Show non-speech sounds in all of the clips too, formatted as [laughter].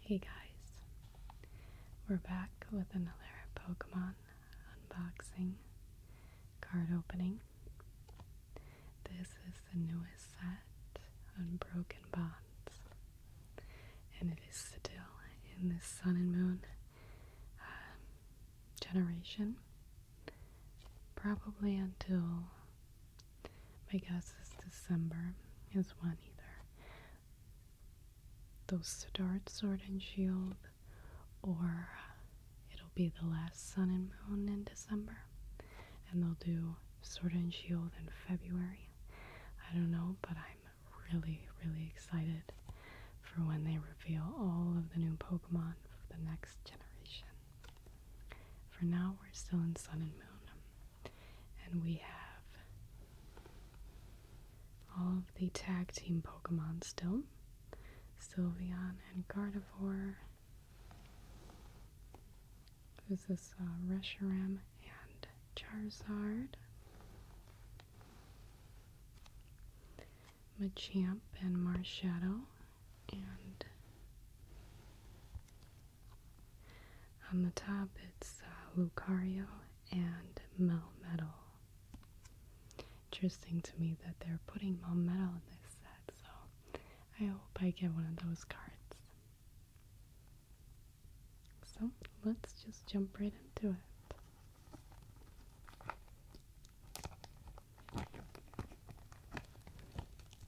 Hey guys, we're back with another Pokemon unboxing card opening. This is the newest set, Unbroken Bonds, and it is still in the Sun and Moon um, generation, probably until my guess is December is one either. Those start Sword and Shield, or it'll be the last Sun and Moon in December, and they'll do Sword and Shield in February. I don't know, but I'm really, really excited for when they reveal all of the new Pokemon for the next generation. For now, we're still in Sun and Moon. And we have all of the tag team Pokemon still. Sylvian and Gardevoir. This is uh, Reshiram and Charizard. Machamp and Marshadow. And on the top, it's uh, Lucario and Melmetal. Interesting to me that they're putting Melmetal in this set, so I hope I get one of those cards. So let's just jump right into it.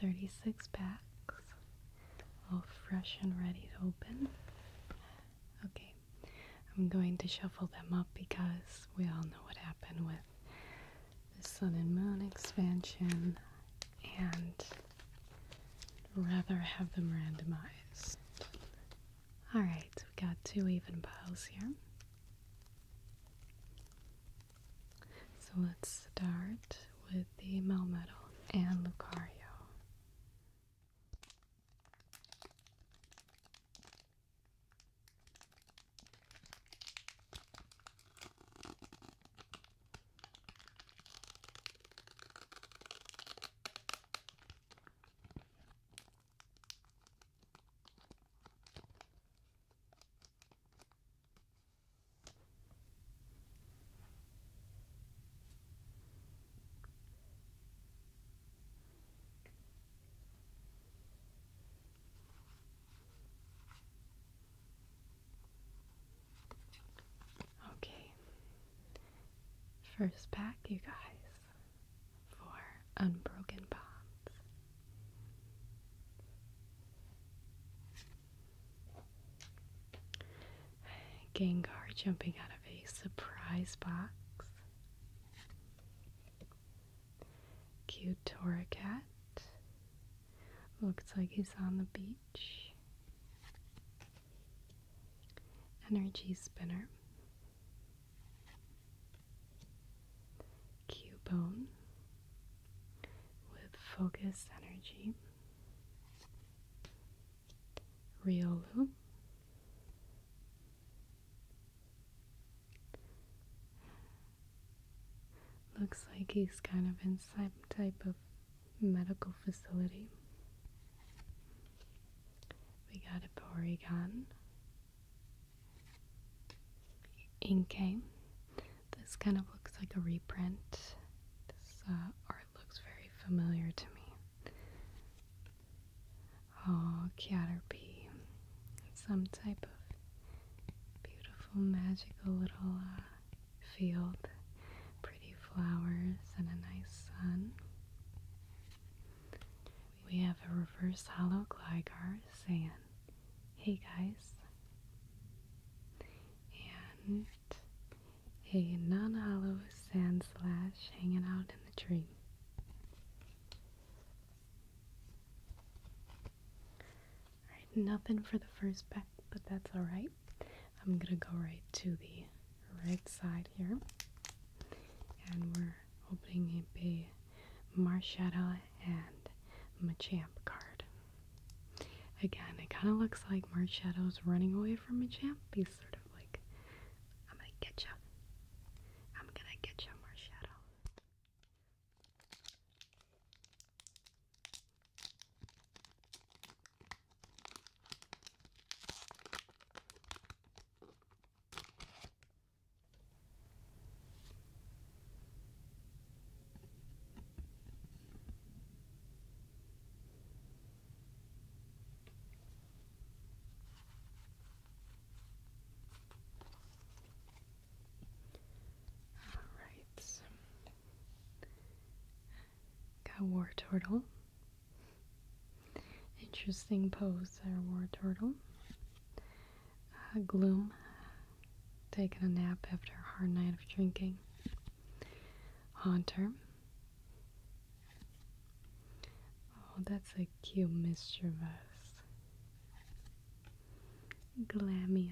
36 packs, all fresh and ready to open. Okay, I'm going to shuffle them up because we all know what happened with the Sun and Moon expansion, and rather have them randomized. Alright, we we've got two even piles here. So let's start with the Melmetal and Lucario. Okay, first pack, you guys for unbroken bonds. Gengar jumping out of a surprise box. Cute Toracat. Looks like he's on the beach. Energy Spinner. Cube bone with Focus Energy, Riolu, looks like he's kind of in some type of medical facility. We got a Porygon, Inkay. This kind of looks like a reprint. This uh, art looks very familiar to me. Oh, Caterpie. Some type of beautiful, magical little uh, field. Pretty flowers and a nice sun we have a reverse hollow Gligar saying, hey guys. And a non hollow sand slash hanging out in the tree. nothing for the first pack, but that's alright. I'm gonna go right to the right side here. And we're opening a big Marshadow and Machamp card. Again, it kind of looks like is running away from Machamp. He's sort of like, I'm gonna get you. I'm gonna get you, Marshadow. All right. Got War Turtle. Interesting pose there, War Turtle. Uh, gloom, taking a nap after a hard night of drinking. Haunter. Oh, that's a cute mischievous. Glamio.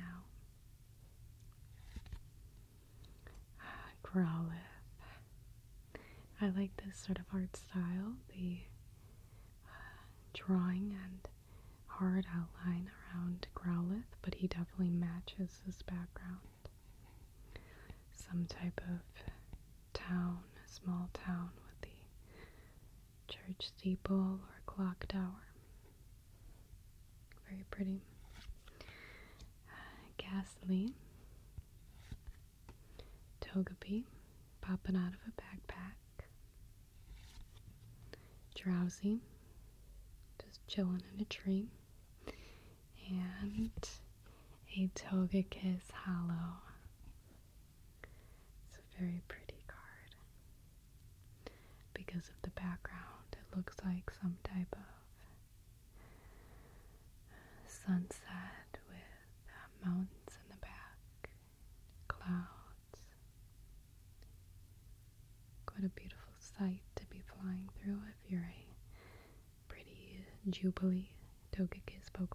Uh, ah, Growlithe. I like this sort of art style, the drawing and hard outline around Growlithe, but he definitely matches his background. Some type of town, small town with the church steeple or clock tower. Very pretty. Uh, Togepi popping out of a backpack. Drowsy just chilling in a tree. And a Togekiss Hollow. It's a very pretty card. Because of the background, it looks like some type of sunset with mountains in the back clouds. What a beautiful sight to be flying through if you're a pretty Jubilee Togekiss Pokemon.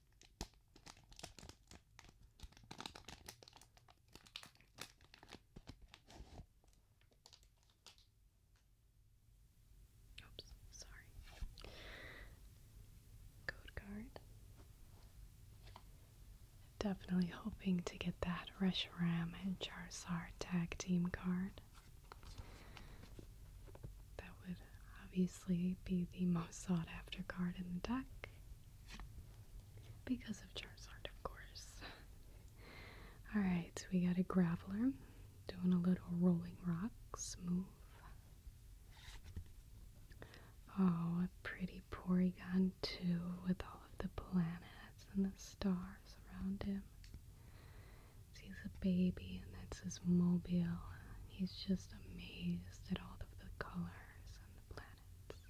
Oops, sorry. Code card. Definitely hoping to get that Reshiram and Charizard tag team card. That would obviously be the most sought after card in the deck because of Charizard, of course. Alright, we got a Graveler doing a little rolling rocks move. Oh, a pretty Porygon, too, with all of the planets and the stars around him. He's a baby, and that's his mobile. He's just amazed at all of the colors and the planets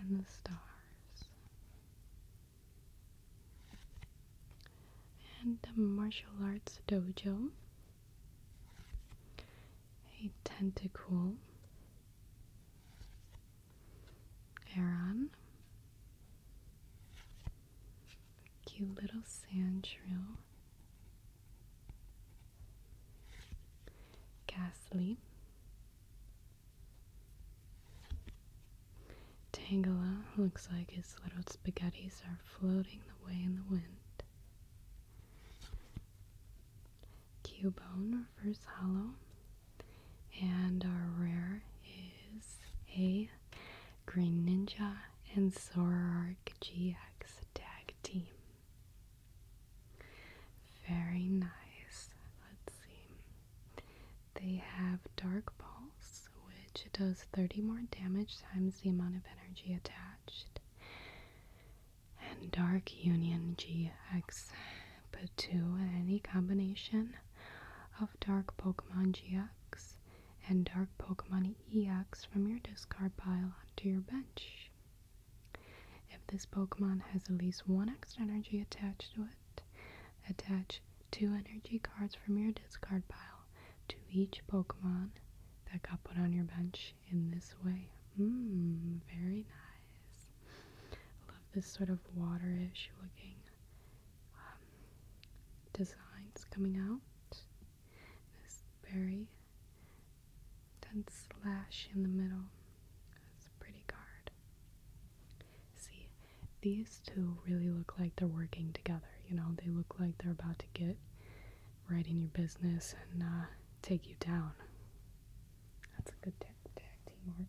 and the stars. And the martial arts dojo. A tentacle. Aaron. Cute little sand shrill. Ghastly, Tangela looks like his little spaghettis are floating away in the wind. Cubone refers hollow, and our rare is a green ninja and Zoroark GX tag team. Very nice. Let's see. They have Dark Pulse, which does 30 more damage times the amount of energy attached. And Dark Union GX. Put two in any combination of Dark Pokemon GX and Dark Pokemon EX from your discard pile onto your bench. If this Pokemon has at least one extra energy attached to it, attach two energy cards from your discard pile to each Pokemon that got put on your bench in this way. Mmm, very nice. love this sort of waterish looking um, designs coming out. This very that slash in the middle. That's pretty card. See, these two really look like they're working together. You know, they look like they're about to get right in your business and uh, take you down. That's a good Tag team art.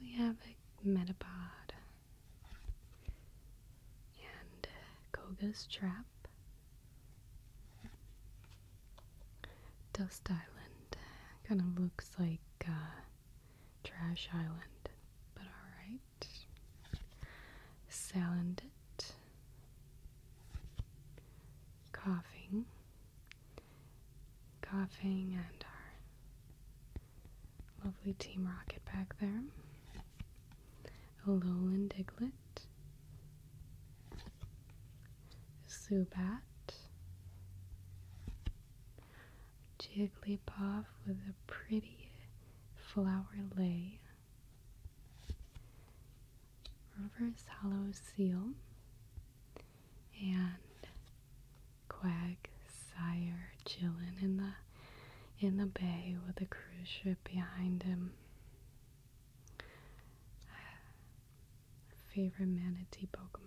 we have a Metapod and Koga's Trap Dust Island uh, kind of looks like uh, Trash Island, but alright. Salandit. Coughing. Coughing and our lovely Team Rocket back there. A lowland Diglett. Zubat, Jigglypuff with a pretty flower lay, Reverse Hollow Seal, and Quag Sire chillin' in the in the bay with a cruise ship behind him. Favorite manatee Pokemon.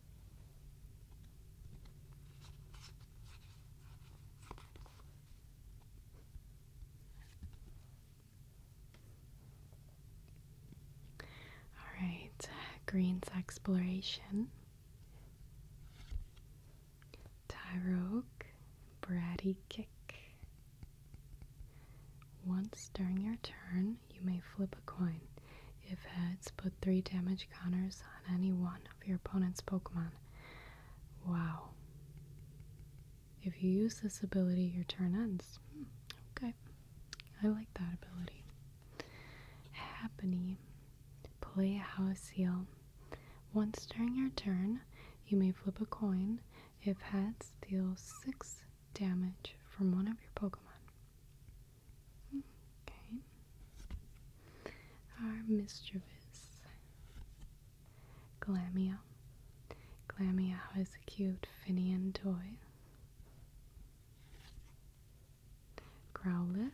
All right, Green's Exploration. Tyroke, Bratty Kick. Once during your turn, you may flip a coin. If heads, put three damage counters on any one of your opponent's Pokemon. Wow. If you use this ability, your turn ends. okay. I like that ability. Happiny. Play a house seal. Once during your turn, you may flip a coin. If heads, deal six damage from one of your Pokemon. Our mischievous Glamia. Glamia has a cute Finian toy. Growlithe.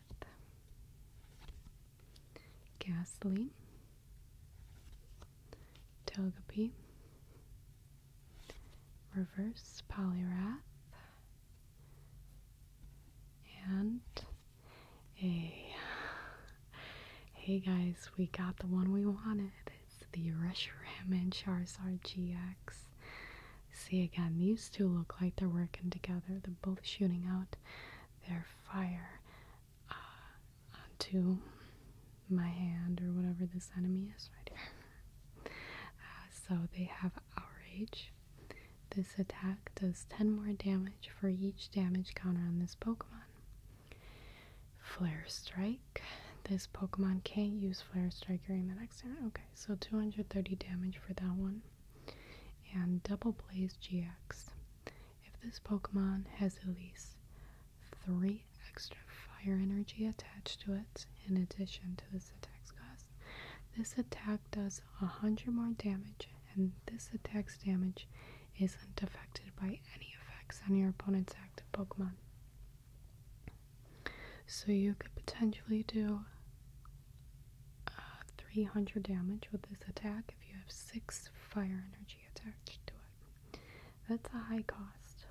Ghastly. Togepi. Reverse Polyrath and a hey guys we got the one we wanted it's the Rushram and Charizard GX see again these two look like they're working together they're both shooting out their fire uh, onto my hand or whatever this enemy is right here [laughs] uh, so they have outrage this attack does 10 more damage for each damage counter on this Pokemon. Flare Strike. This Pokemon can't use Flare Strike during the next turn. Okay, so 230 damage for that one. And Double Blaze GX. If this Pokemon has at least three extra fire energy attached to it in addition to this attack's cost, this attack does 100 more damage, and this attack's damage isn't affected by any effects on your opponent's active Pokemon. So you could potentially do uh, 300 damage with this attack if you have 6 fire energy attached to it. That's a high cost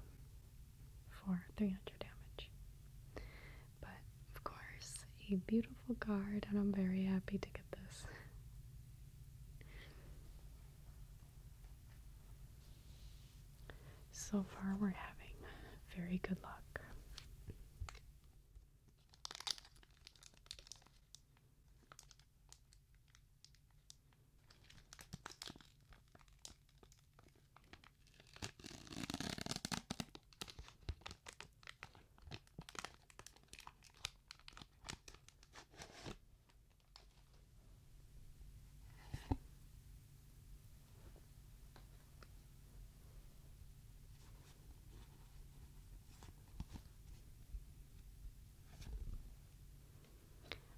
for 300 damage. But of course, a beautiful card, and I'm very happy to get this. So far, we're having very good luck.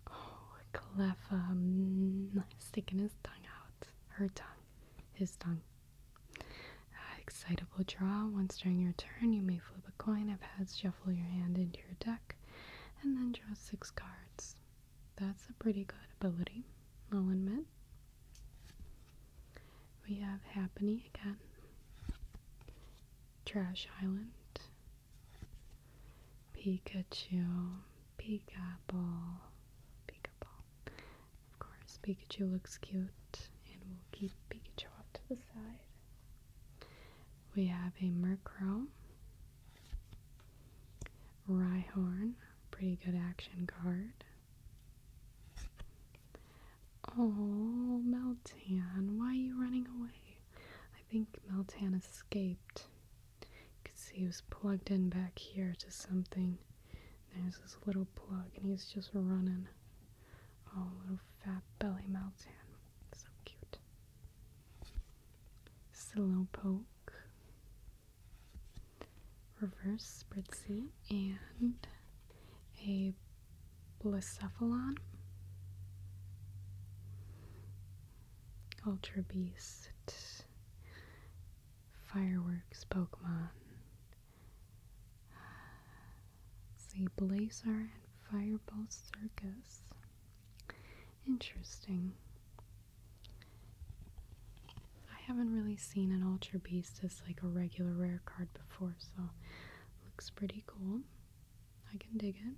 Oh, clever! Mm, um, sticking his tongue out. Her tongue. His tongue excitable draw. Once during your turn, you may flip a coin of heads, shuffle your hand into your deck, and then draw six cards. That's a pretty good ability, I'll admit. We have Happiny again, Trash Island, Pikachu, Peekaboo, Peekaboo, of course, Pikachu looks cute, and we'll keep Pikachu off to the side. We have a Murkrow, Rhyhorn, pretty good action card. Oh, Meltan, why are you running away? I think Meltan escaped. You can see he was plugged in back here to something. There's this little plug, and he's just running. Oh, little fat belly melts in. So cute. Slowpoke. Reverse Spritzy. And a Blacephalon. Ultra Beast. Fireworks Pokemon. See Blazer and Fireball Circus. Interesting. I haven't really seen an Ultra Beast as like a regular rare card before, so looks pretty cool. I can dig it.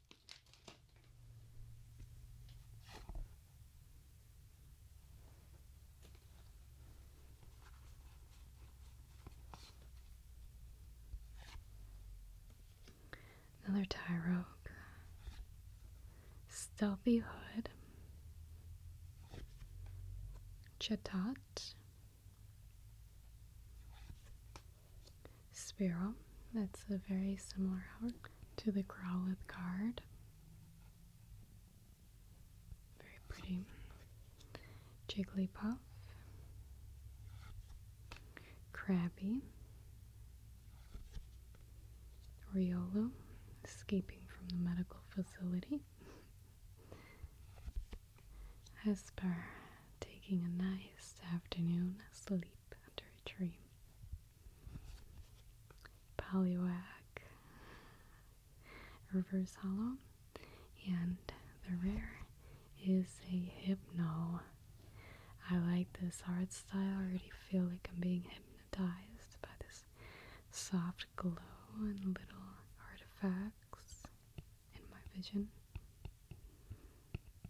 Another Tyrogue. Stealthy Hood. Chatot. Sparrow. That's a very similar hour to the Growlithe card. Very pretty. Jigglypuff. Crabby. Riolo, escaping from the medical facility. Hesper, [laughs] taking a nice afternoon sleep under a tree. Poliwag, Reverse Hollow, and the rare is a Hypno. I like this art style. I already feel like I'm being hypnotized by this soft glow and little artifacts in my vision.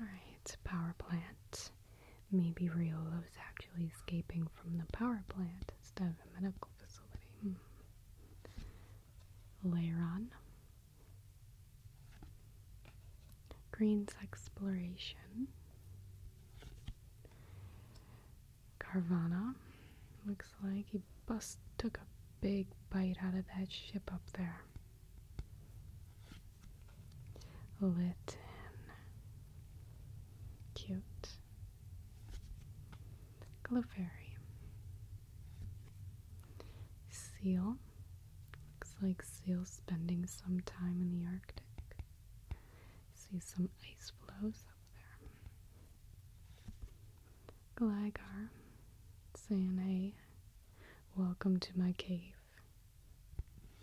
Alright, power plant. Maybe Riola was actually escaping from the power plant instead of a medical facility. Hmm. Layer on. Green's Exploration. Carvana. Looks like he bust took a big bite out of that ship up there. Litin, cute. Clefairy. Seal. Looks like seals spending some time in the Arctic. See some ice floes up there. Gligar saying, welcome to my cave.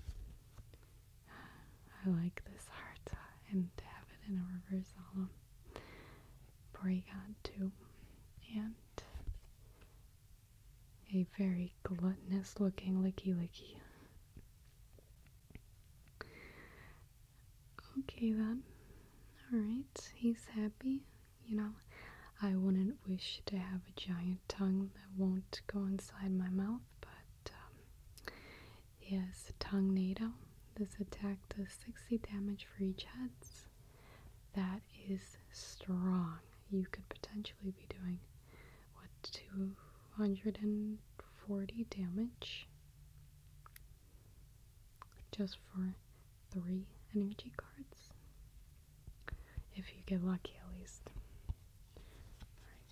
[sighs] I like this art uh, and to have it in a reverse alum. Porygon too. And a very gluttonous looking licky licky. Okay then. Alright, he's happy. You know, I wouldn't wish to have a giant tongue that won't go inside my mouth, but yes, um, tongue NATO. This attack does 60 damage for each head. That is strong. You could potentially be doing what 240 damage just for three energy cards. If you get lucky, at least. Alright.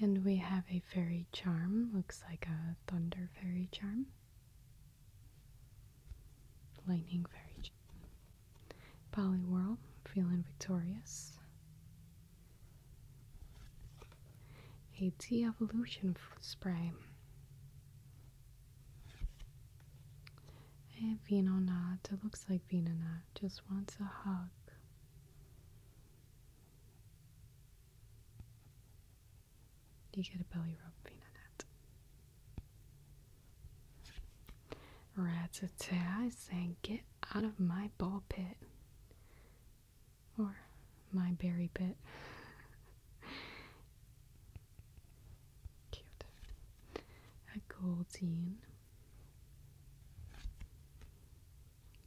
And we have a fairy charm, looks like a thunder fairy charm. Lightning fairy charm. Poliwhirl, feeling victorious. A de-evolution spray. And Venonat, it looks like Venonat just wants a hug. Do You get a belly rub peanut. Ratata is saying, Get out of my ball pit. Or my berry pit. [laughs] Cute. A goldine.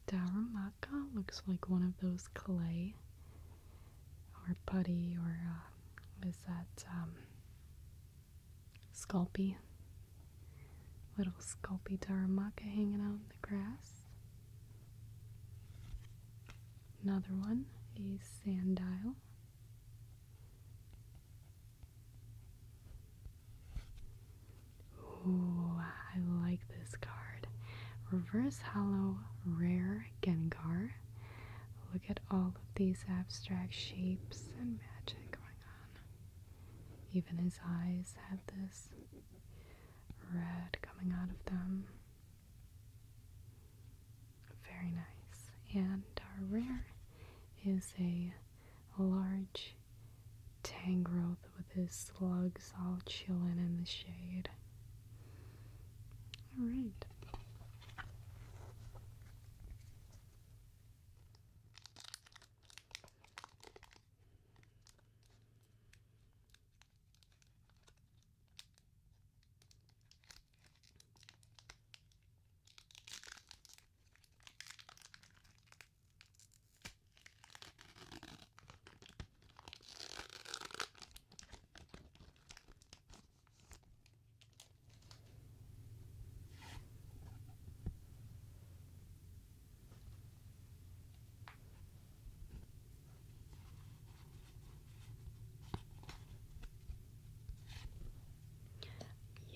Daramaka looks like one of those clay or putty or uh, is that um, sculpy? Little sculpy Daramaka hanging out in the grass. Another one, is sandile. Ooh, I like this card. Reverse Hollow Rare Gengar. Look at all of these abstract shapes and magic going on. Even his eyes have this red coming out of them. Very nice. And our rare is a a large tangrowth with his slugs all chillin' in the shade. Alright.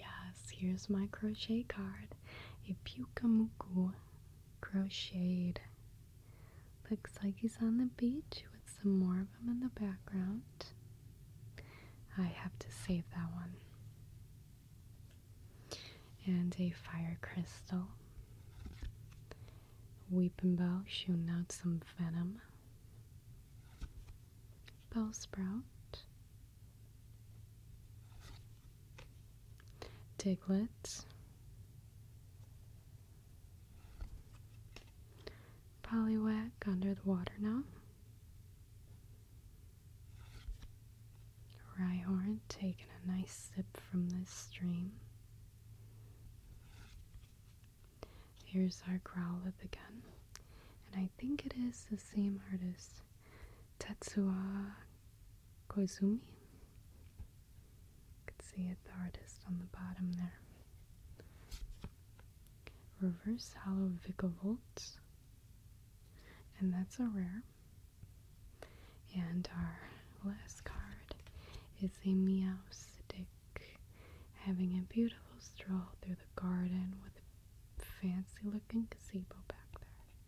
Yes, here's my crochet card, a Pyukamuku crocheted. Looks like he's on the beach with some more of them in the background. I have to save that one. And a fire crystal. Weeping bell shooting out some venom. Bell sprout. Diglets, Polywhack under the water now, Rhyhorn taking a nice sip from this stream. Here's our Growlithe again, and I think it is the same artist. Tetsuya Koizumi. Could see it, the artist on the bottom there. Reverse Hollow And that's a rare. And our last card is a Meow Stick having a beautiful stroll through the garden with a fancy looking gazebo back there.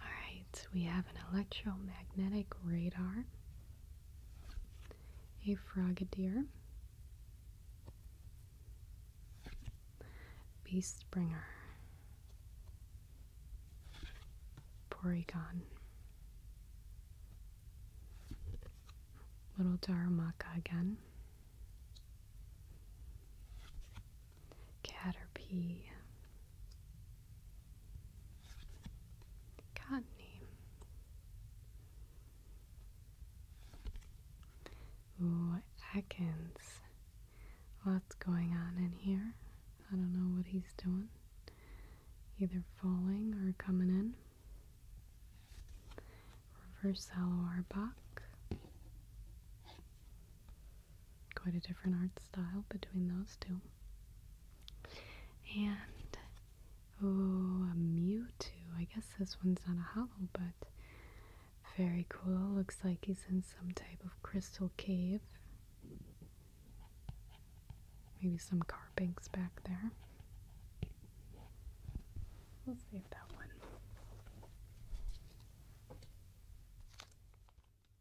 Alright, we have an electromagnetic radar, a frogadier, beast bringer, Porygon, little Darumaka again. Caterpie, Cottony. Ooh, Atkins. what's going on in here. I don't know what he's doing. Either falling or coming in. Reverse Hollow Arbok. Quite a different art style between those two. And, oh, a mew too. I guess this one's not a hollow, but very cool. Looks like he's in some type of crystal cave. Maybe some carpinks back there. We'll save that one.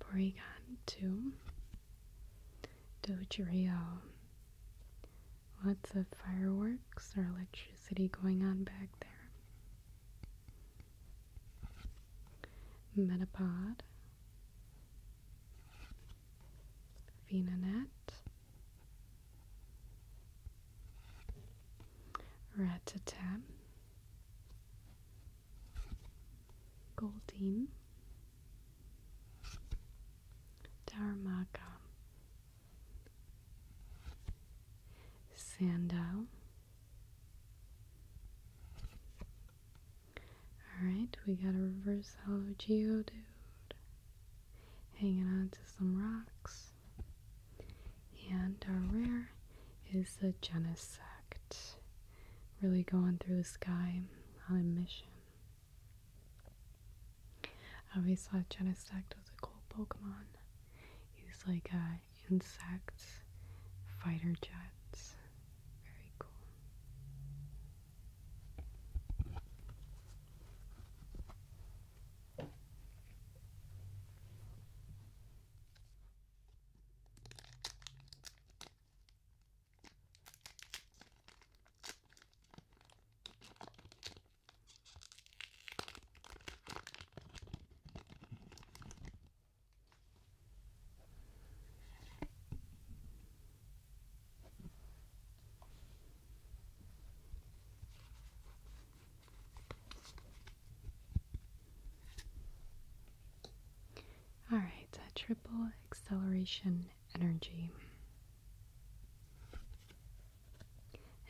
Borigan Dogerio. Lots of fireworks or electricity going on back there. Metapod. Venonat, Ratatam, Goldine, Dharma. Sandal. Alright, we got a reverse hollow geodude hanging on to some rocks. And our rare is the Genesect. Really going through the sky on a mission. I always thought Genesect was a cool Pokemon. He's like a uh, insect fighter jets. Very cool. All right, a triple acceleration energy.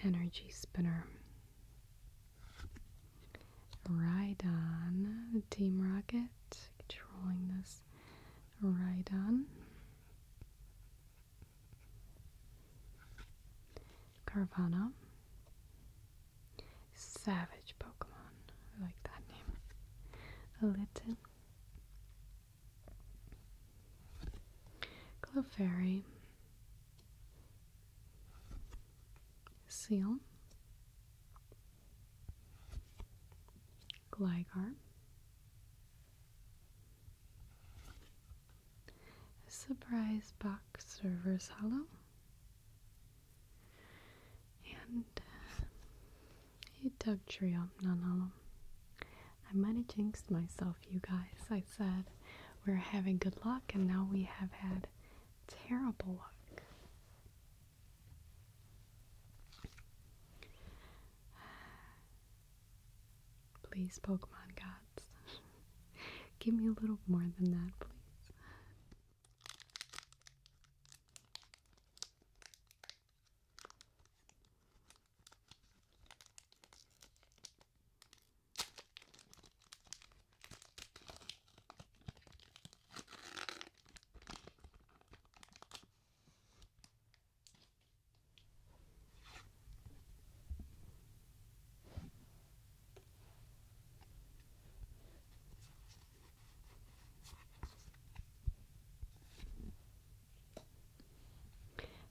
Energy spinner. Ride on the Team Rocket, controlling this this right Savage Pokemon. I like that name. A Litten. Clefairy. Seal. Gligar. Surprise box reverse hollow. And uh, a Dug Trio non hollow. I might have jinxed myself, you guys. I said we're having good luck, and now we have had terrible luck. Please, Pokemon gods. [laughs] Give me a little more than that, please.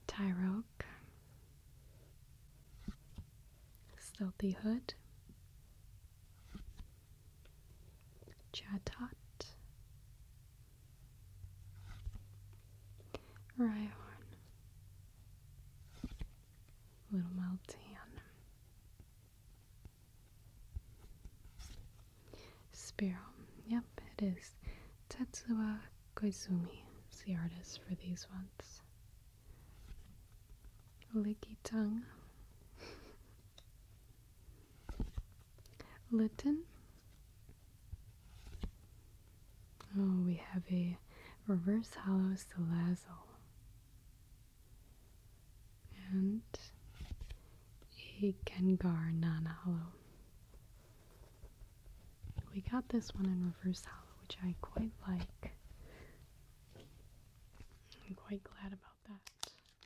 Tyroke, Stealthy Hood, Chatot Rhyhorn Little Meltan Sparrow. Yep, it is. Tetsuya Koizumi the artist for these ones. Licky tongue. [laughs] Litten. Oh, we have a reverse hollow salazal and a Gengar non-hollow. We got this one in reverse hollow, which I quite like. I'm quite glad about that.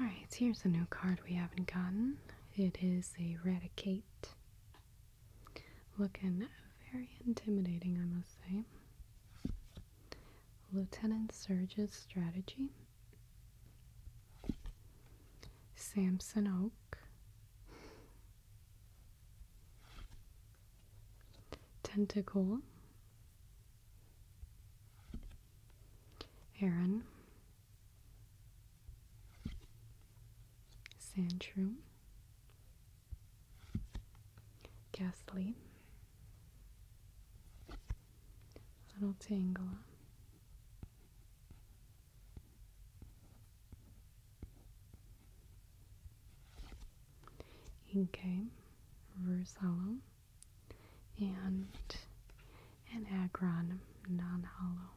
Alright, here's a new card we haven't gotten. It is Eradicate. Looking very intimidating, I must say. Lieutenant Surge's strategy Samson Oak, Tentacle, Aaron, Sandshroom, Ghastly, Little Tangela, Inkay, Versallo, and an Agron non hollow.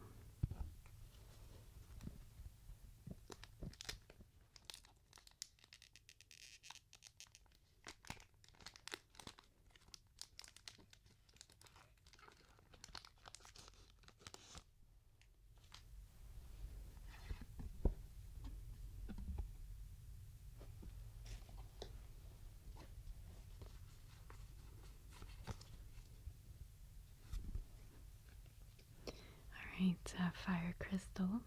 All right, sapphire uh, crystal,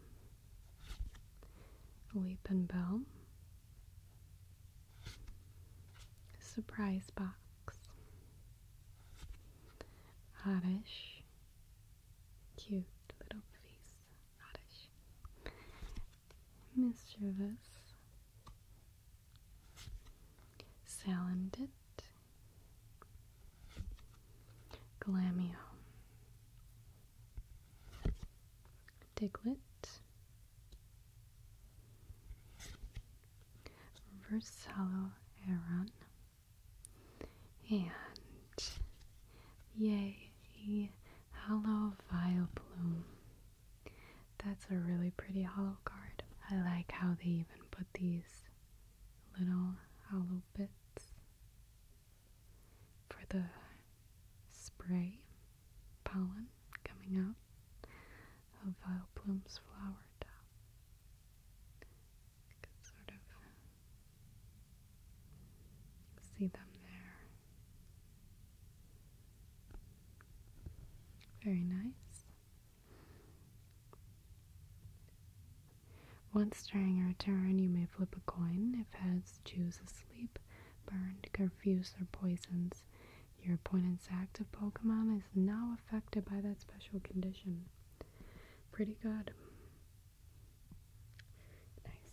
leap and bell, Surprise box. Oddish. Cute little face. Oddish. Mischievous. Salandit. Glamio. diglet hello, Aaron and yay hello, hollow That's a really pretty hollow card. I like how they even put these little hollow bits for the spray pollen coming out of Vile uh, blooms, flowered. top. can sort of see them there. Very nice. Once during your turn, you may flip a coin. If heads, choose a sleep, burned, confused, or poisons. Your opponent's active Pokemon is now affected by that special condition. Pretty good. Nice.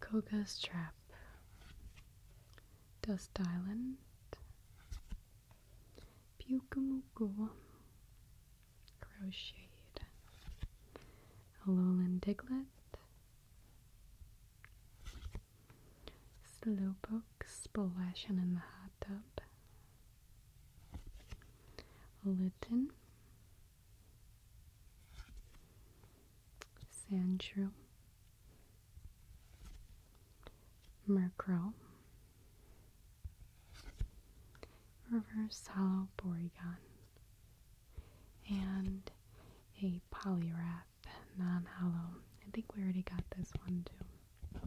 Koga's Trap, Dust Island, Pukamuku, Crocheted, Alolan Diglet, Slowpoke, Splash, and in the Hot laptop. Luton. Sandshrew. Murkrow. Reverse hollow And a Poliwrath non-hollow. I think we already got this one too.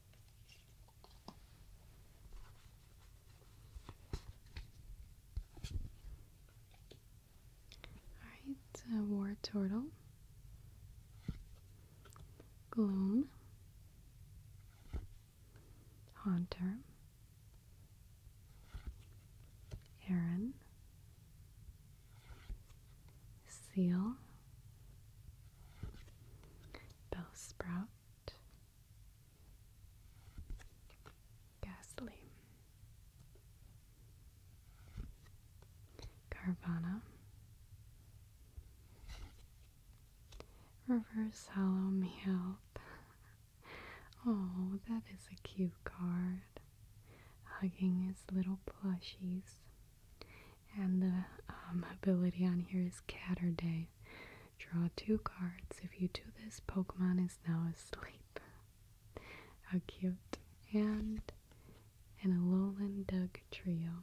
Alright, uh, War Turtle, Gloom, Haunter, Aaron, Seal, Bellsprout, Ghastly. Carvana. Reverse Hollow Me Help. Oh, that is a cute card. Hugging his little plushies. And the um, ability on here is Catterday. Draw two cards. If you do this, Pokemon is now asleep. How cute. And an Alolan Doug trio.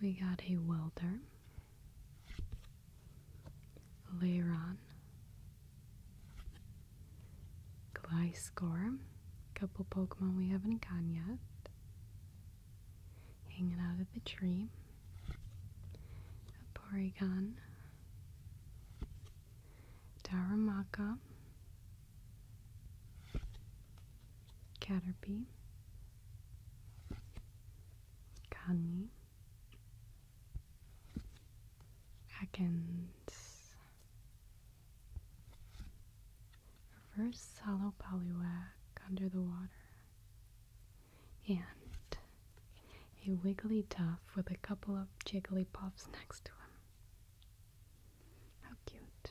we got a welder, Leiron, Gliscor, couple Pokemon we haven't gotten yet, hanging out of the tree, a Porygon, Daramaka, Caterpie, Connie, Atkins, reverse hollow polywag under the water, and a Wigglytuff with a couple of Jigglypuffs next to him. How cute.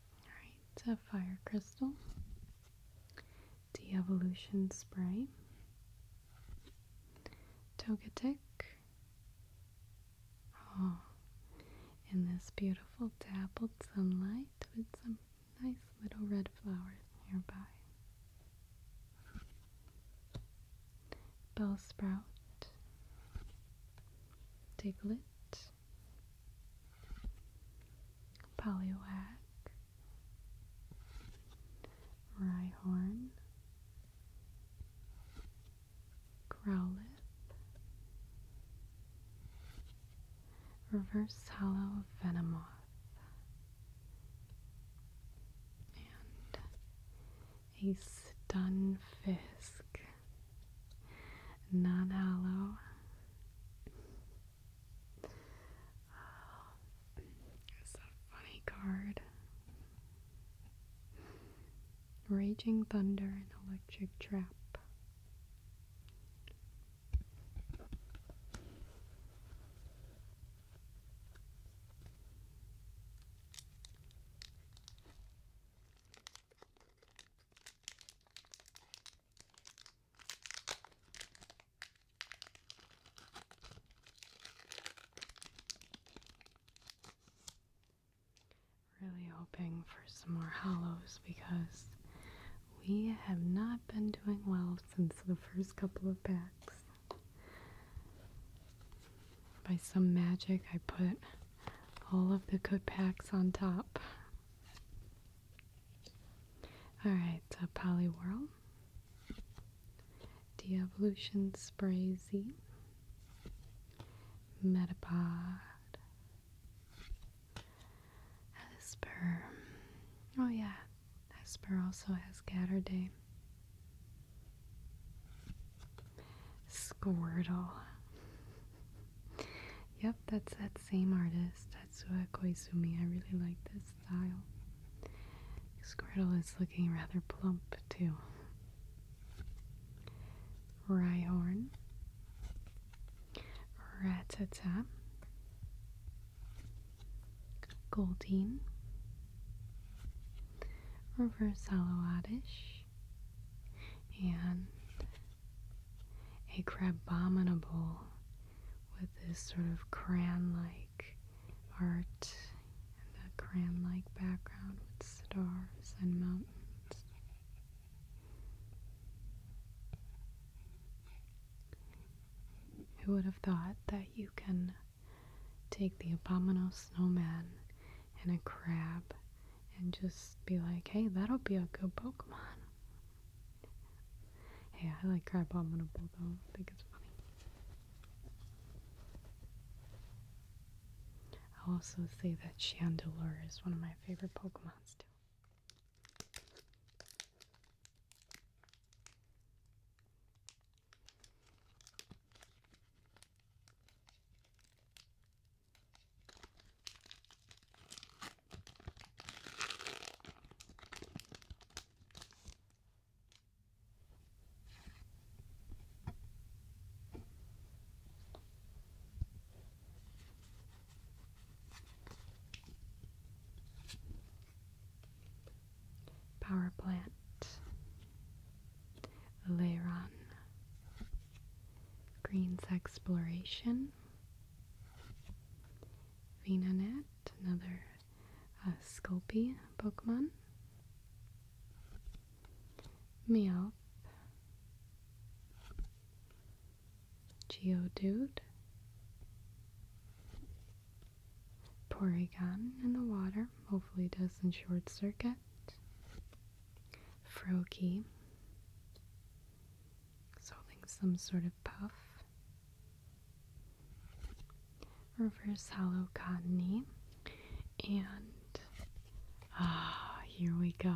All right, it's a fire crystal. De-Evolution Spray, Togetic, oh, in this beautiful dappled sunlight with some nice little red flowers nearby. Bell sprout. Diglet. Polywhack, Rhyhorn, Growlithe, Reverse Hollow Venomoth, and a Stunfisk, non-hollow um, it's a funny card. Raging Thunder and Electric Trap. Really hoping for some more hollows because we have not been doing well since the first couple of packs. By some magic, I put all of the good packs on top. Alright, so Polyworld. De-Evolution Spray Z, Metapod, Esper. Oh yeah, Esper also has Gatterday. Squirtle. Yep, that's that same artist, Tatsuya Koizumi. I really like this style. Squirtle is looking rather plump too. Rhyhorn. Ratata. Goldine. Reverse Alouadish. And a crabominable with this sort of crayon-like art and a crayon-like background with stars and mountains. Who would have thought that you can take the abominable snowman and a crab and just be like, hey, that'll be a good Pokemon. Hey, I like crab abominable though. I think it's funny. i also say that Chandelure is one of my favorite Pokemon too. Power plant, Leiron, Green's Exploration, Vina Net another uh, Pokemon. Meowth. Geodude. Porygon in the water, hopefully doesn't short circuit. Froakie. It's some sort of puff. Reverse hollow And ah, here we go.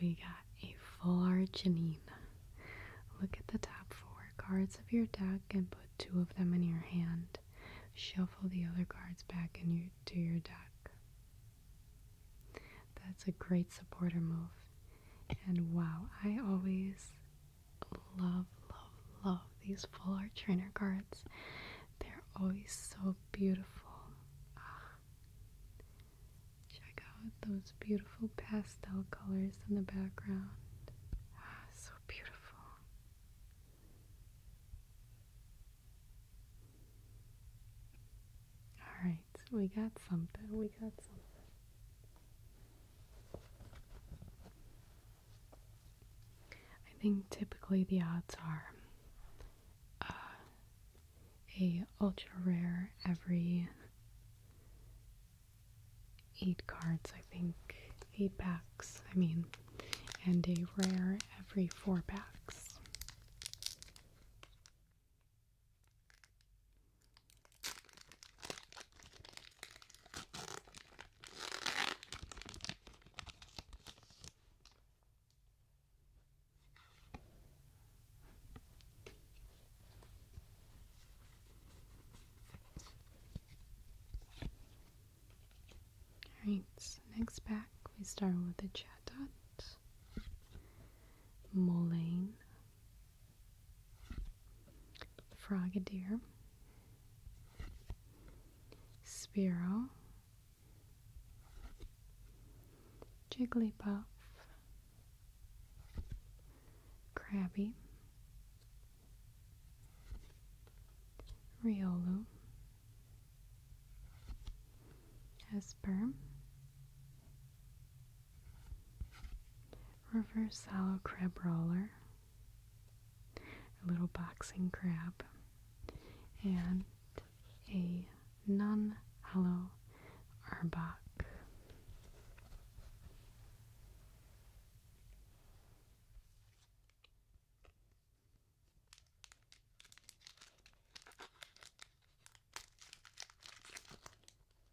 We got a full Arginine. Look at the top four cards of your deck and put two of them in your hand. Shuffle the other cards back into your deck. That's a great supporter move. And wow, I always love, love, love these full art trainer cards. They're always so beautiful. Ah. Check out those beautiful pastel colors in the background. Ah, so beautiful. Alright, we got something. We got something. I think typically the odds are uh, a ultra rare every eight cards, I think, eight backs. I mean, and a rare every four backs. Alright, next pack we start with the chat Chatot, Moline, Frogadier, Spiro, Jigglypuff, Crabby, Riolu, Esper, reverse hollow crab roller, a little boxing crab, and a non hollow arbok.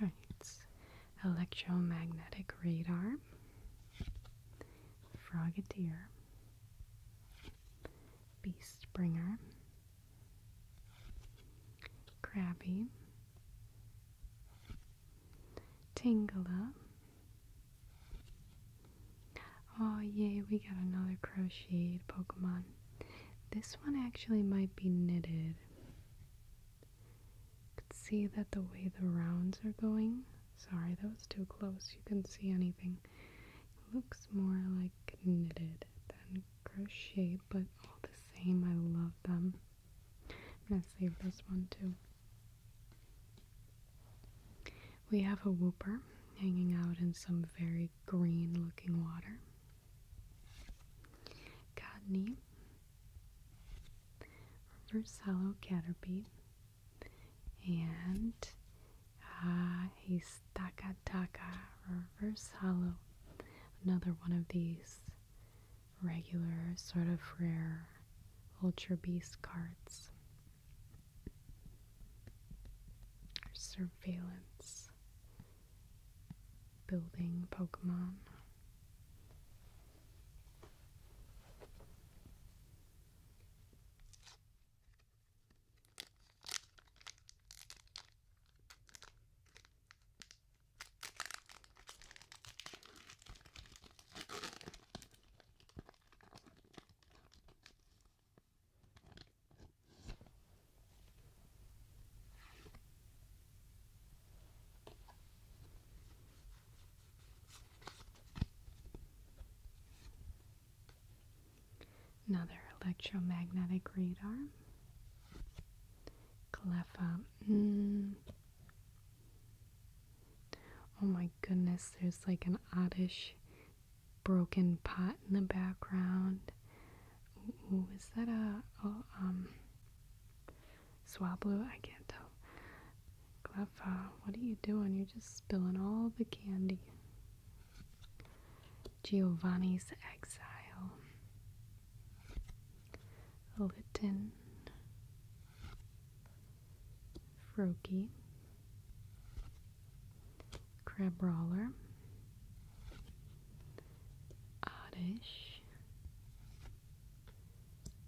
Alright, electromagnetic radar, frogateer, beast bringer, crabby, Tingle. Oh yay, we got another crocheted Pokemon. This one actually might be knitted. You can see that the way the rounds are going. Sorry, that was too close. You can see anything. looks more like knitted than crochet, but all the same, I love them. I'm gonna save this one too. We have a whooper hanging out in some very green looking water cottony, reverse hollow caterpie, and uh, a stakataka reverse hollow. Another one of these regular, sort of rare Ultra Beast cards. Surveillance building Pokemon. Another electromagnetic radar. Cleffa. Hmm. Oh my goodness, there's like an oddish broken pot in the background. Ooh, is that a um, Swablu, I can't tell. Cleffa, uh, what are you doing? You're just spilling all the candy. Giovanni's Exile. Litton. Froakie. Crab Roller. Oddish.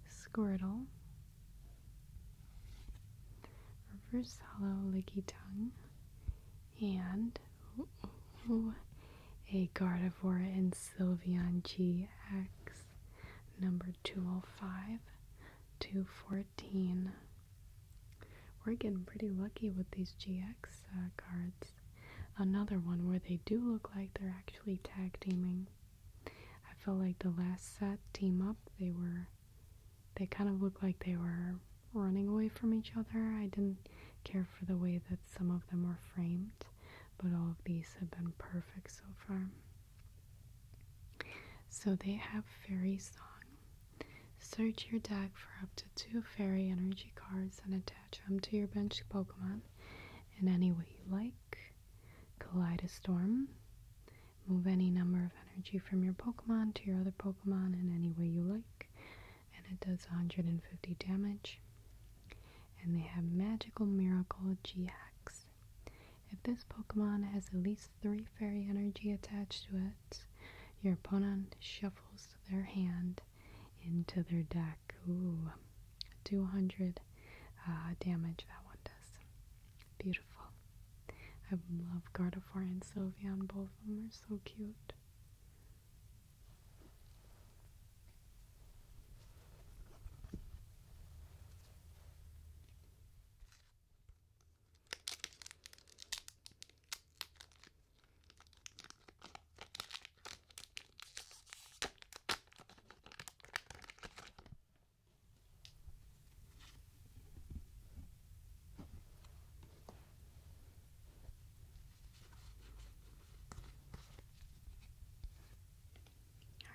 Squirtle, Reverse Hollow Licky Tongue, and a Gardevoir and Sylveon GX number 205 to 14. We're getting pretty lucky with these GX uh, cards. Another one where they do look like they're actually tag teaming. I felt like the last set team up, they were, they kind of looked like they were running away from each other. I didn't care for the way that some of them were framed, but all of these have been perfect so far. So they have Fairy Song. Search your deck for up to two fairy energy cards and attach them to your bench Pokemon in any way you like. Collide Move any number of energy from your Pokemon to your other Pokemon in any way you like. And it does 150 damage. And they have Magical Miracle GX. If this Pokemon has at least three fairy energy attached to it, your opponent shuffles their hand into their deck. Ooh, 200 uh, damage that one does. Beautiful. I love Gardevoir and Sylvian. Both of them are so cute.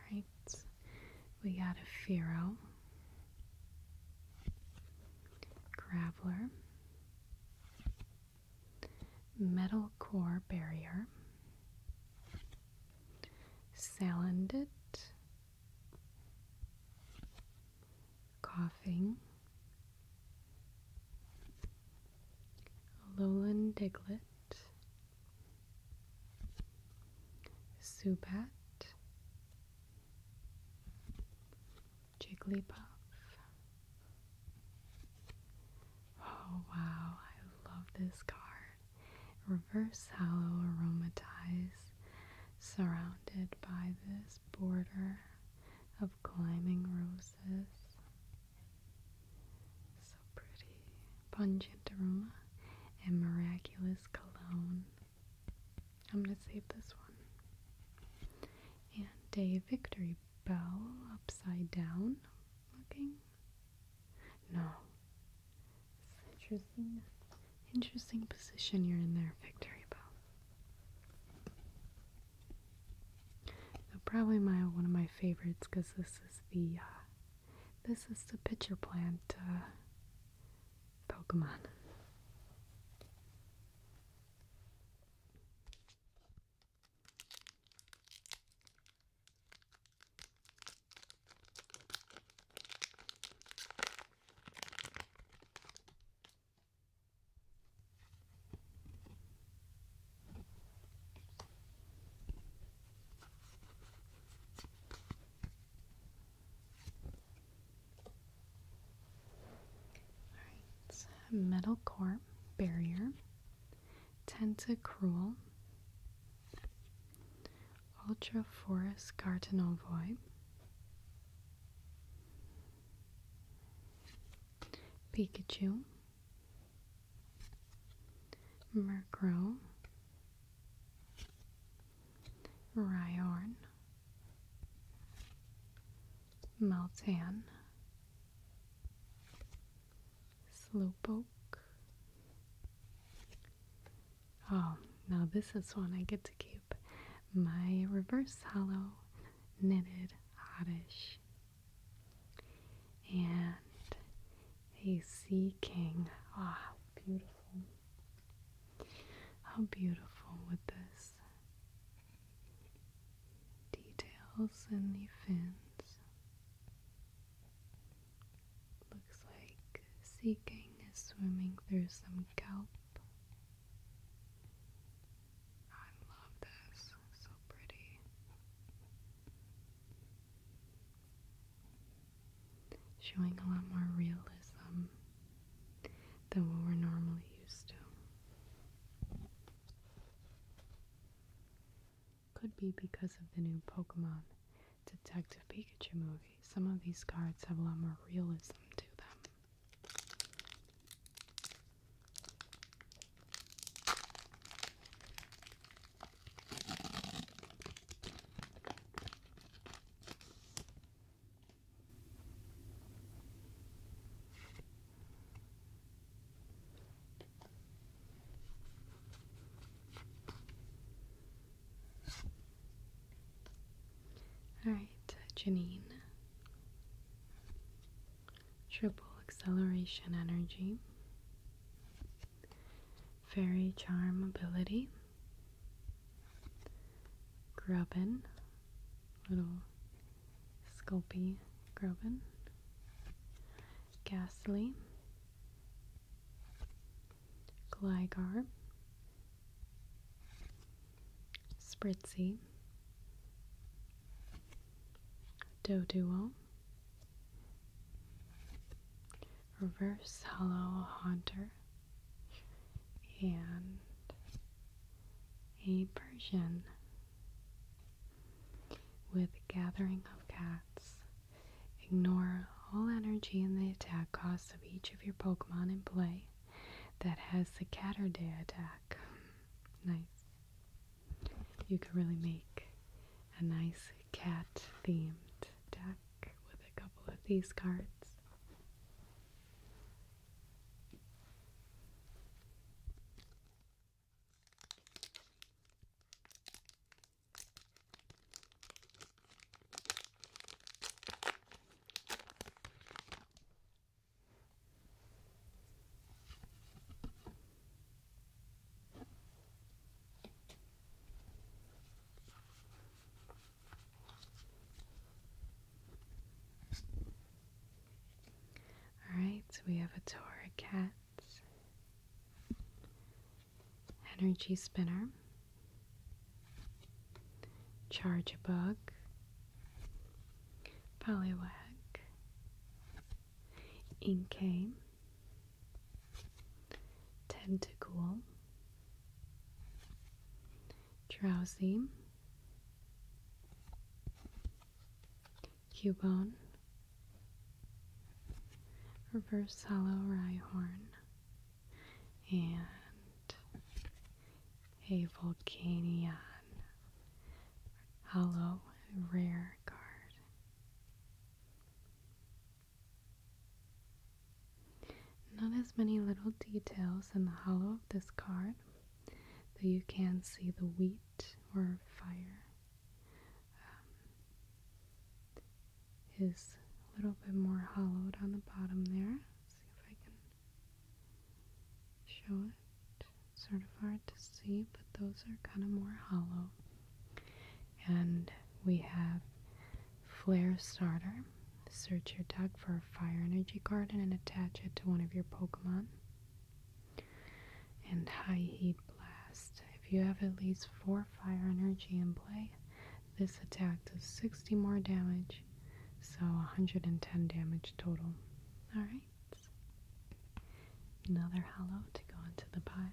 All right, we got a Firo, Graveler, metal core barrier, salandit, coughing, lowland diglet, subat, Jigglypuff, Oh wow, I love this card. Reverse Hallow aromatized, surrounded by this border of climbing roses. So pretty. Pungent aroma and miraculous cologne. I'm gonna save this one. And a victory bell upside down looking. No. Interesting, position you're in there, Victory Bow. Probably my one of my favorites because this is the uh, this is the pitcher plant uh, Pokemon. All right, metal core barrier Tentacruel, Ultra Ultraphorus Gartenovoi, Pikachu, Murkrow, Ryorn, Maltan, Slowpoke. Oh, now this is one I get to keep. My reverse hollow knitted oddish. And a sea king. Oh, ah, how beautiful. How beautiful with this. Details and the fins. Looks like Sea is swimming through some kelp. I love this, so pretty. Showing a lot more realism than what we're normally used to. Could be because of the new Pokemon Detective Pikachu movie. Some of these cards have a lot more realism to them. All right, Janine. Triple acceleration energy. Fairy charm ability. Grubbin. Little Sculpey Grubbin. Ghastly, Gligar, Spritzy, Doduo, Reverse Hollow Hunter, and a Persian with gathering of cats. Ignore all energy and the attack costs of each of your Pokemon in play that has the Catterday attack. [laughs] nice. You could really make a nice cat themed deck with a couple of these cards. All right, so we have a Torah cat energy spinner, charge a bug, polywag, inkay, tentacle, drowsy, Cubone, Reverse Hollow Rhyhorn, and a Volcanion Hollow Rare card. Not as many little details in the hollow of this card, though you can see the wheat or fire um, is a little bit more hollowed on the bottom there. see if I can show it. sort of hard to see, but those are kind of more hollow. And we have Flare Starter. Search your deck for a fire energy card and attach it to one of your Pokemon and high heat blast. If you have at least 4 fire energy in play, this attack does 60 more damage, so 110 damage total. Alright. Another hollow to go into the pile.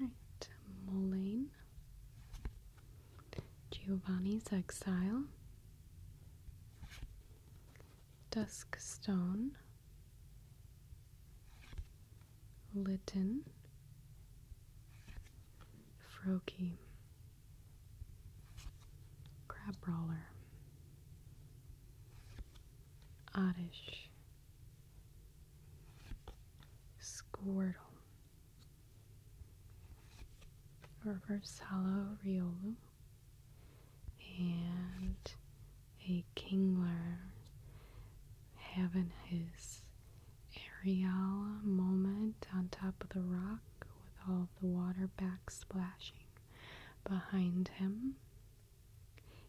All right, mullein. Giovanni's Exile, Dusk Stone, Lytton, Froki, Crab Brawler, Oddish, Squirtle reverse hollow Riolu, and a Kingler having his aerial moment on top of the rock with all the water back splashing behind him.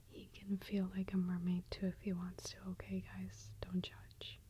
He can feel like a mermaid too if he wants to. Okay, guys, don't judge.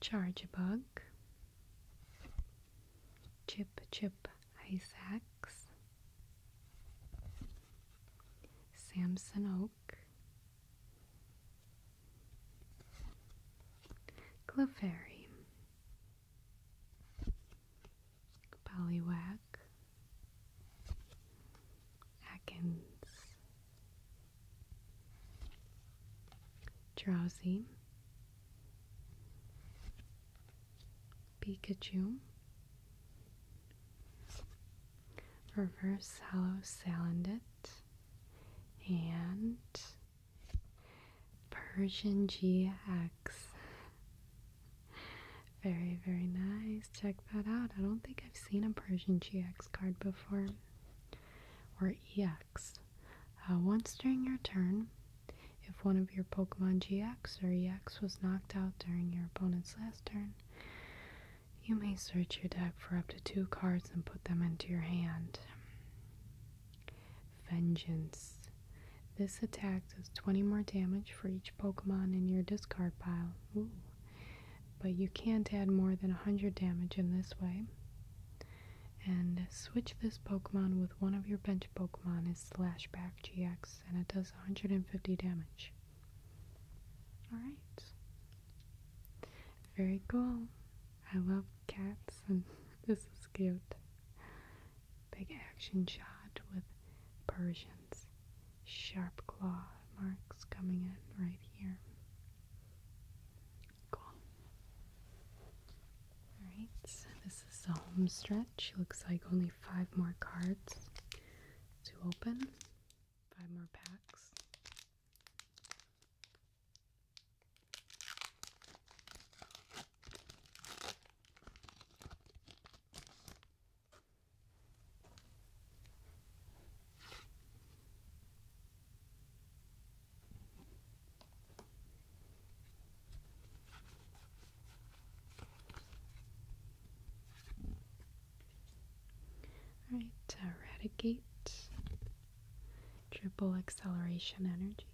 Charge Bug, Chip Chip Isaacs, Samson Oak, Clefairy, Ballywack, Atkins, Drowsy, Pikachu, Reverse Hollow Salandit, and Persian GX. Very, very nice. Check that out. I don't think I've seen a Persian GX card before. Or EX. Uh, once during your turn, if one of your Pokemon GX or EX was knocked out during your opponent's last turn, you may search your deck for up to two cards and put them into your hand. Vengeance. This attack does 20 more damage for each Pokemon in your discard pile. Ooh. But you can't add more than 100 damage in this way. And switch this Pokemon with one of your bench Pokemon is Slashback GX, and it does 150 damage. Alright. Very cool. I love cats, and [laughs] this is cute big action shot with Persians. Sharp claw marks coming in right here. Cool. Alright, so this is the home stretch. Looks like only five more cards to open. Five more packs. All right, eradicate triple acceleration energy.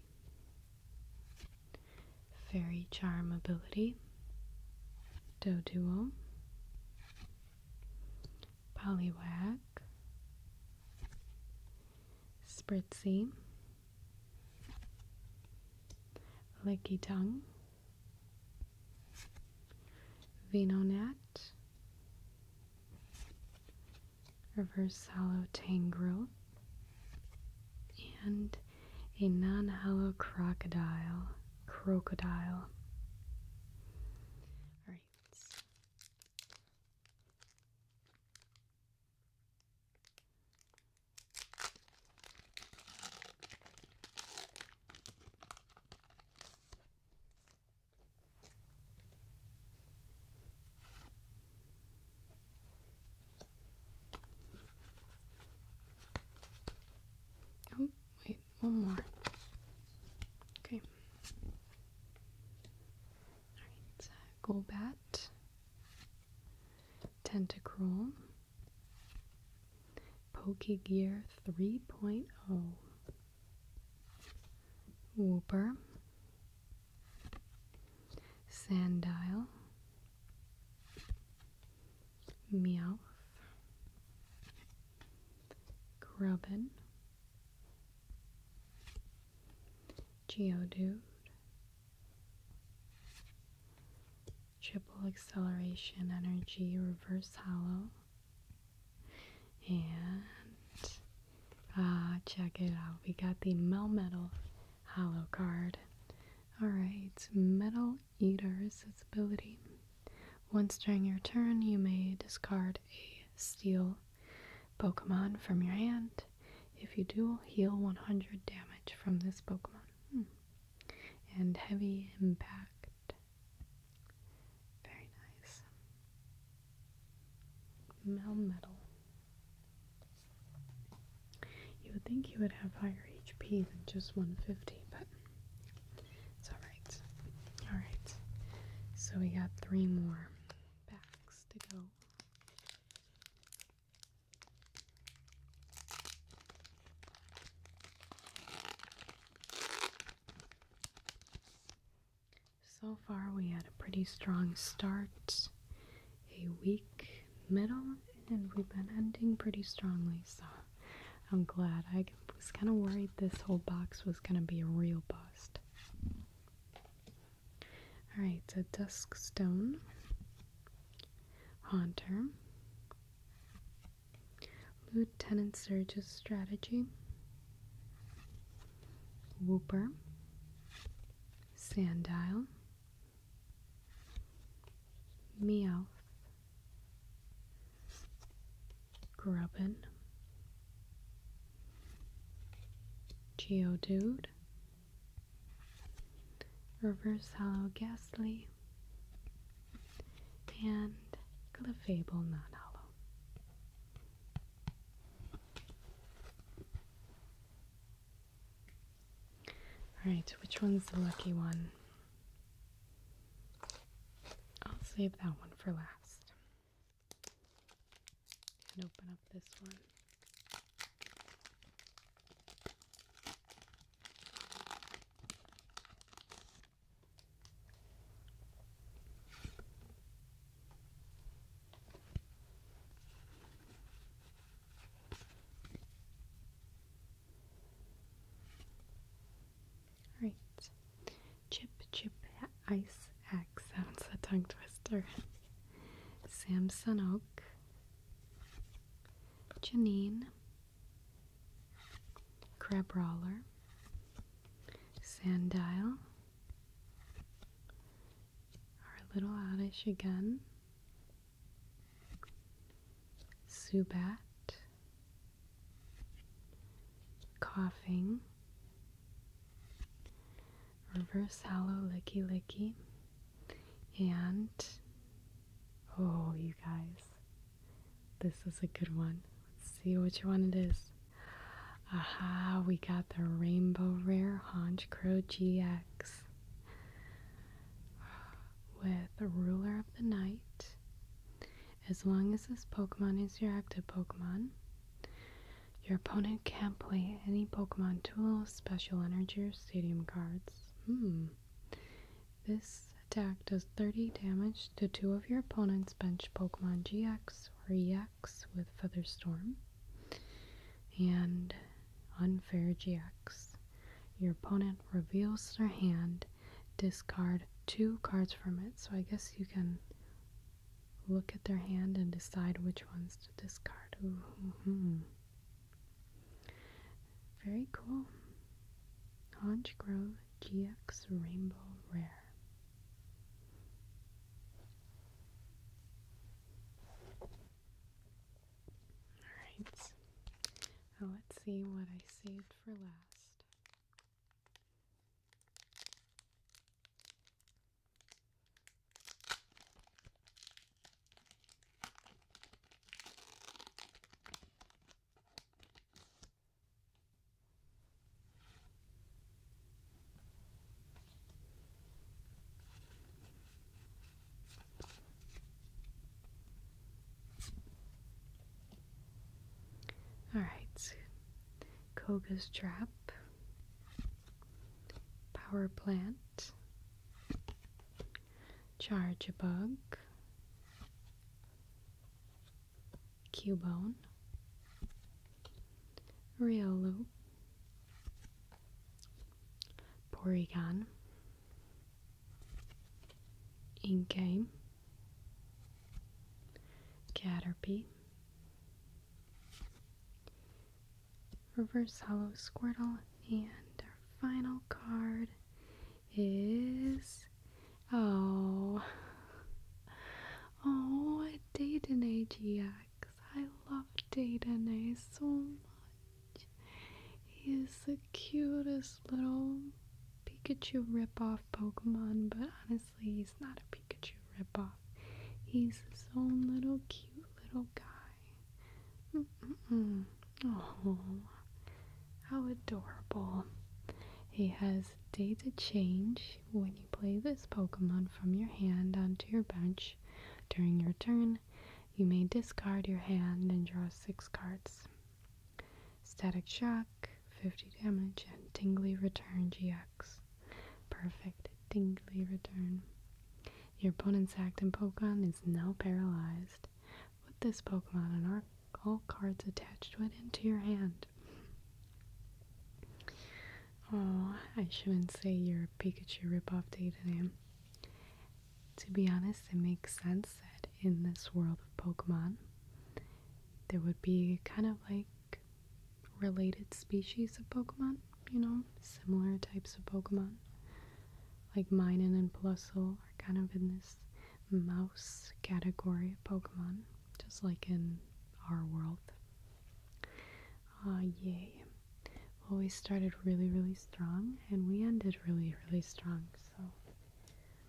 Fairy Charm ability, Duo. Poliwag, Spritzy, Licky Tongue, Venonat, Reverse Hollow Tangro. and a non hollow crocodile. Crocodile. Alright. Oh, wait, one more. Okay. Alright, Golbat, Tentacruel, Pokegear 3.0, Whooper, Sandile, Meowth, Grubbin, Geodude, Triple Acceleration Energy Reverse Hollow, and uh, check it out. We got the Melmetal hollow card. Alright, Metal Eater's its ability. Once during your turn, you may discard a steel Pokemon from your hand. If you do, heal 100 damage from this Pokemon. Hmm. And heavy impact. Very nice. Melmetal. You would think you would have higher HP than just 150, but it's alright. Alright, so we got three more backs to go. So far, we had a pretty strong start a weak middle and we've been ending pretty strongly so I'm glad. I was kind of worried this whole box was going to be a real bust. Alright, the Dusk Stone, hunter, Lieutenant Surge's Strategy, Whooper, Sandile, Meow. Grubbin, Geodude, Reverse Hollow Ghastly, and Clefable Not Hollow. Alright, which one's the lucky one? I'll save that one for last. And open up this one. Right. Chip Chip Ice Axe. Sounds [laughs] a tongue twister. Samson Oak. Janine. Crab Roller. Sandile. Our little Oddish again. Subat, coughing, reverse hollow licky licky, and oh, you guys, this is a good one. Let's see which one it is. Aha, we got the Rainbow Rare Haunch Crow GX. [sighs] with ruler of the night. As long as this Pokemon is your active Pokemon, your opponent can't play any Pokemon Tool, Special Energy, or Stadium cards. Hmm. This attack does 30 damage to two of your opponent's bench Pokemon GX or EX with Featherstorm, And Unfair GX. Your opponent reveals their hand, discard two cards from it. So I guess you can look at their hand and decide which ones to discard. Very cool. Hodge Grove GX Rainbow Rare. Alright, well, oh, let's see what I saved for last. Alright, Koga's Trap, Power Plant, Charge a Bug, Cubone, Riolu, Porygon, in game, Caterpie, Reverse Hollow Squirtle, and our final card is oh oh Dayton AGX. I love Dayton so much. He's the cutest little Pikachu ripoff Pokemon, but honestly, he's not a Pikachu ripoff. He's his own little cute little guy. Mm -mm -mm. Oh, how adorable. He has data change when you play this Pokemon from your hand onto your bench during your turn. You may discard your hand and draw six cards. Static Shock, 50 damage, and Tingly Return GX. Perfect. Tingly Return. Your opponent's Actin Pokemon is now paralyzed. Put this Pokemon and all cards attached to it into your hand. Oh, I shouldn't say you're a Pikachu ripoff day today to be honest, it makes sense that in this world of Pokemon, there would be kind of like related species of Pokemon, you know, similar types of Pokemon. Like Minun and Plusle are kind of in this mouse category of Pokemon, just like in our world. Ah, yay. Well, we started really, really strong and we ended really, really strong. So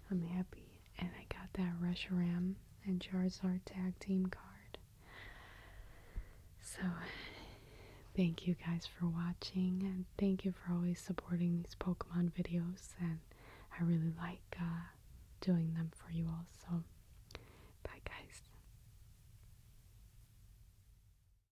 I'm happy. And I got that Reshiram and Charizard tag team card. So thank you guys for watching and thank you for always supporting these Pokemon videos. And I really like uh, doing them for you all. So bye, guys.